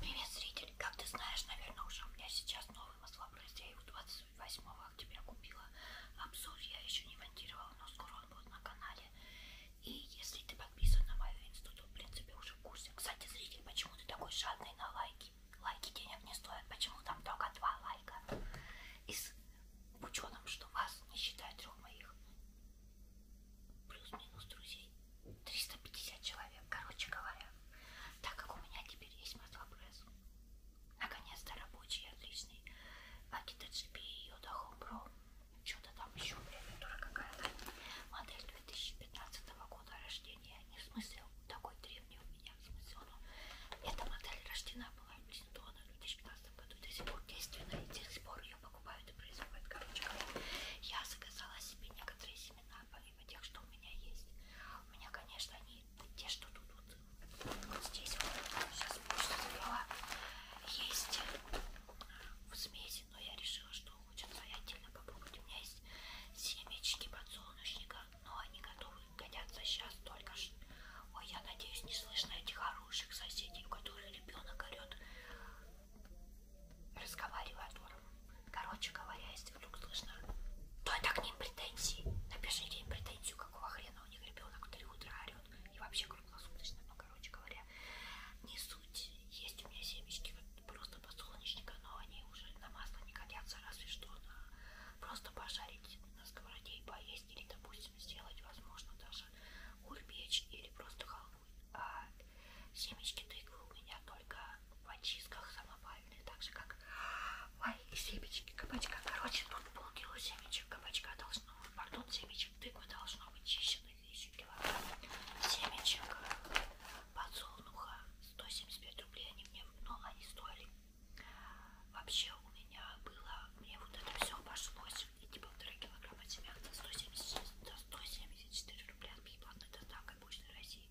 Привет, зритель! Как ты знаешь, наверное, уже у меня сейчас новый маслобрызд. Я его 28 октября купила. Обзор я еще не монтировала, но скоро он будет на канале. И если ты подписан на мою инсту, то в принципе уже в курсе. Кстати, зритель, почему ты такой жадный на лайки? Лайки денег не стоят. Почему там только два лайка? И с ученым, что вас не считает трех моих плюс-минус друзей 350 человек, короче говоря так как у меня теперь есть маслопресс наконец-то рабочий, отличный Акита GP и Yoda Homebro что-то там еще клавиатура какая-то модель 2015 года рождения не в смысле такой древний у меня в смысле но эта модель рождена была в 2015 году и до сих пор действенна и до сих пор ее покупают и производят. Короче говоря, я заказала себе некоторые семена, помимо тех, что у меня есть. У меня, конечно, они те, что тут вот, вот здесь вот, сейчас почту завела, есть э, в смеси, но я решила, что лучше свои отдельно попробовать. У меня есть семечки подсолнечника, но они готовы, годятся сейчас только что. Ой, я надеюсь, не слышно этих хороших соседей, у которых ребенок орет, разговаривая тором. Короче говоря, если вдруг слышно, то «Ну, это к ним претензии. Напишите им претензию, какого хрена у них ребенок в 3 утра орет. И вообще круглосуточно, но, ну, короче говоря, не суть. Есть у меня семечки просто подсолнечника, но они уже на масло не годятся, разве что на просто пожарить на сковороде и поесть или, допустим, сделать, возможно, даже каши, ульбеч или просто халвы. А семечки тыквы у меня только в очистках самопальные, так же как Ой, семечки кабачка. Короче, тут полкило семечек кабачка должно, пардон, семечек тыквы должно быть чищено еще килограмм. Семечек подсолнуха 175 рублей они мне, но ну, они стоили. Вообще у меня было, мне вот это все обошлось эти типа, полтора килограмма семян за 176, за 174 рубля с бесплатной доставкой Почты России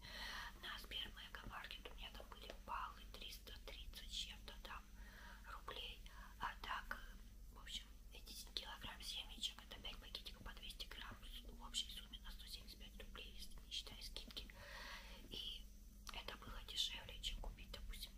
на Сбер Мегамаркет. У меня там были баллы 330 чем-то там рублей. А так, э, в общем, эти килограмм семечек, это 5 пакетиков по 200 грамм в общей сумме на 175 рублей, если не считая скидки. И это было дешевле, чем купить, допустим,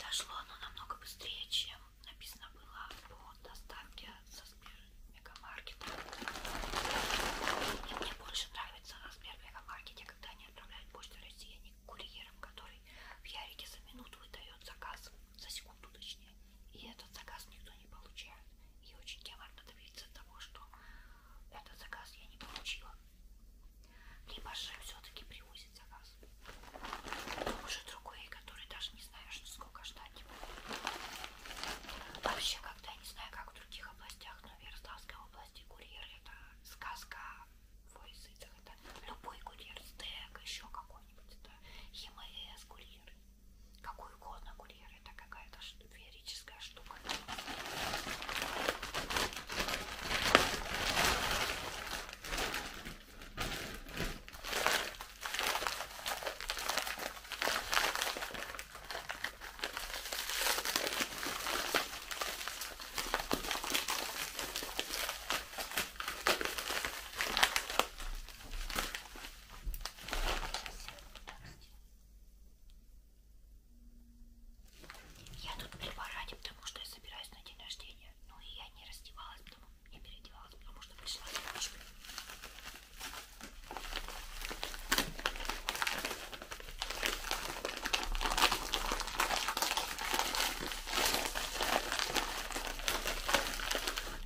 Дошло оно намного быстрее, чем написано было по доставке со Сбер Мегамаркета. И мне больше нравится на Сбер Мегамаркете, когда они отправляют почту России, а не курьером, который в Ярике за минуту выдает заказ, за секунду точнее. И этот заказ никто не получает. И очень геморно добиться того, что этот заказ я не получила. Либо же все-таки привозит заказ. Уже другой, который даже не знаешь, сколько ждать. Вообще, когда я не знаю, как в других областях, но в Ярославской области курьер это сказка в языках. Это любой курьер, стек, еще какой-нибудь, это ЕМС, курьер какой угодно курьер, это какая-то феерическая штука. Я тут при параде, потому что я собираюсь на день рождения. Ну и я не раздевалась, потому не переодевалась, потому что пришла немножко. 17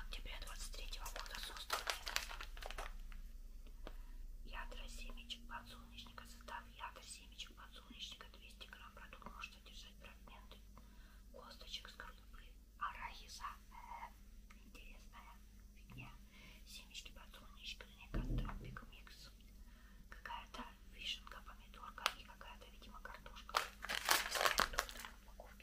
октября 23 года созданы ядра семечек подсолнечника. Состав ядра семечек подсолнечника 200 грамм. Продукт может содержать фрагменты косточек скорлупы арахиса. Э -э, интересная фигня семечки подсолнечка, некоторые пикмикс, какая-то вишенка, помидорка и какая-то, видимо, картошка. Вот.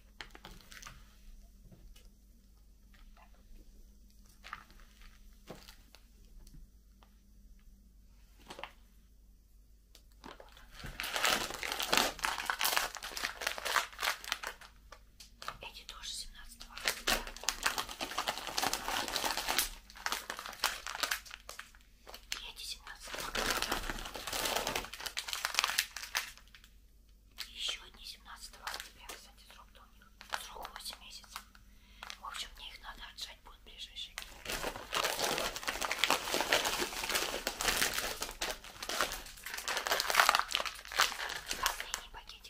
Эти тоже 17 августа. И эти 17 августа. И еще одни 17 октября, кстати, срок-то у них. Срок 8 месяцев. В общем, мне их надо отжать будет в ближайшие дни. Последний пакет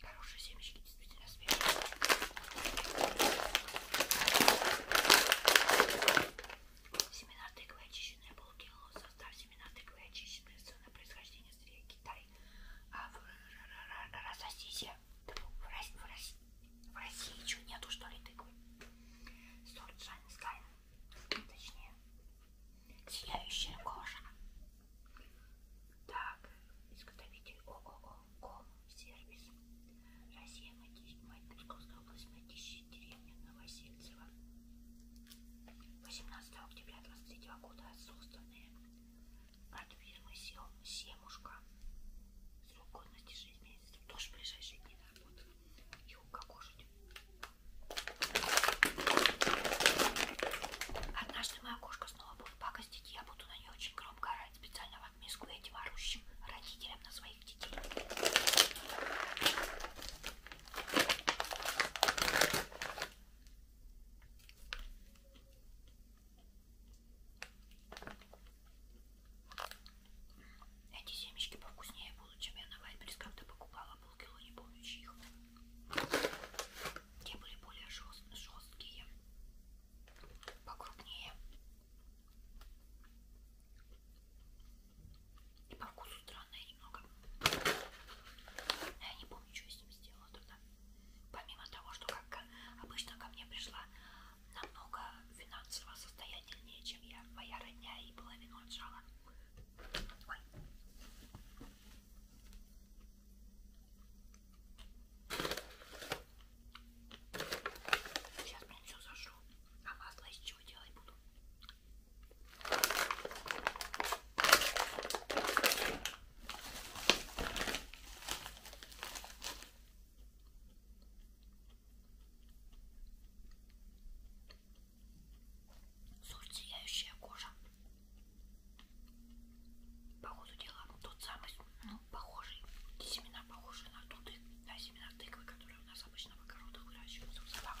Хорошие семечки действительно свежие. Семена тыквы очищенные полкило. Состав семена тыквы очищенные. Зона происхождения сырья Китай. А в, в России что нету что ли тыквы? Соль, шайн, скайн точнее, сияющая кожа. Так, изготовитель ООО Ком Сервис. Россия, мать Псковская область, Матищи, деревня Новосельцева. 18 октября 23 года отсутствованные от фирмы Семушка. Срок годности 6 месяцев. Тоже в ближайшие дни на работу. Юбка кожа Однажды моя кошка снова будет пакостить, я буду на нее очень громко орать, специально в отместку этим орущим родителям на своих детей. Эти семечки повкуснее будут, чем я на Вайберс когда покупала полкило, не помню чьих. Те были более жест, жесткие, покрупнее и по вкусу странные немного. Я не помню, что я с ним сделала тогда. Помимо того, что как обычно ко мне пришла намного финансово состоятельнее, чем я, моя родня, и половину отжала. Ой. Сейчас, блин, все зажжу. А масло из чего делать буду? Суть сияющая кожа. По ходу дела ну, тот самый, ну, похожий, семена похожие на туды, на да, семена тыквы, которые у нас обычно в огородах выращиваются в садах.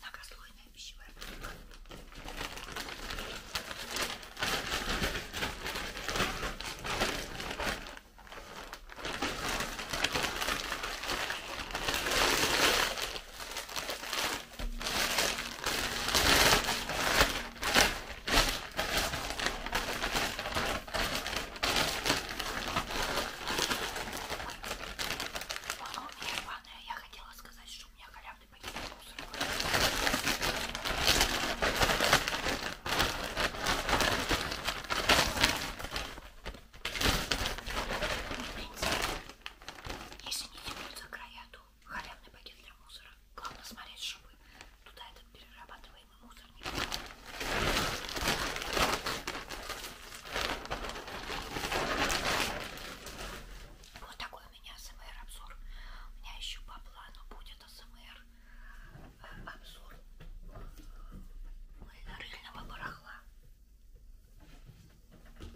Многослойный вкусная пищевая пленка. Она у меня рваная. Я хотела сказать, что у меня халявная стороны пакет мусора. И, в принципе, если не тянутся края, то халявный пакет для мусора. Главное смотреть, чтобы туда этот перерабатываемый мусор не попал. Вот такой у меня СМР-обзор. У меня еще по плану будет СМР-обзор э, рыльного барахла.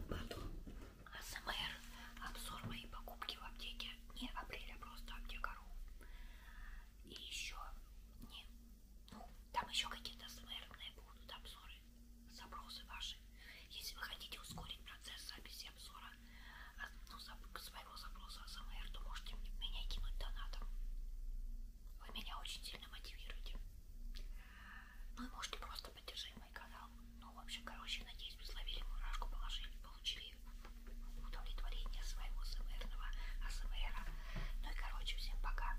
Потом АСМР, обзор моей покупки в аптеке. Не апреля, а просто аптекару. И еще не. Ну, там еще какие-то СМРные будут обзоры запросы ваши. Если вы хотите ускорить процесс записи обзора а, ну, своего запроса СМР, то можете меня кинуть донатом. Вы меня очень сильно мотивируете. Ну и можете просто поддержать мой канал. Ну, в общем, короче, надеюсь, вы словили мурашку, положили, получили удовлетворение своего СМРного АСМРа. Ну и, короче, всем пока.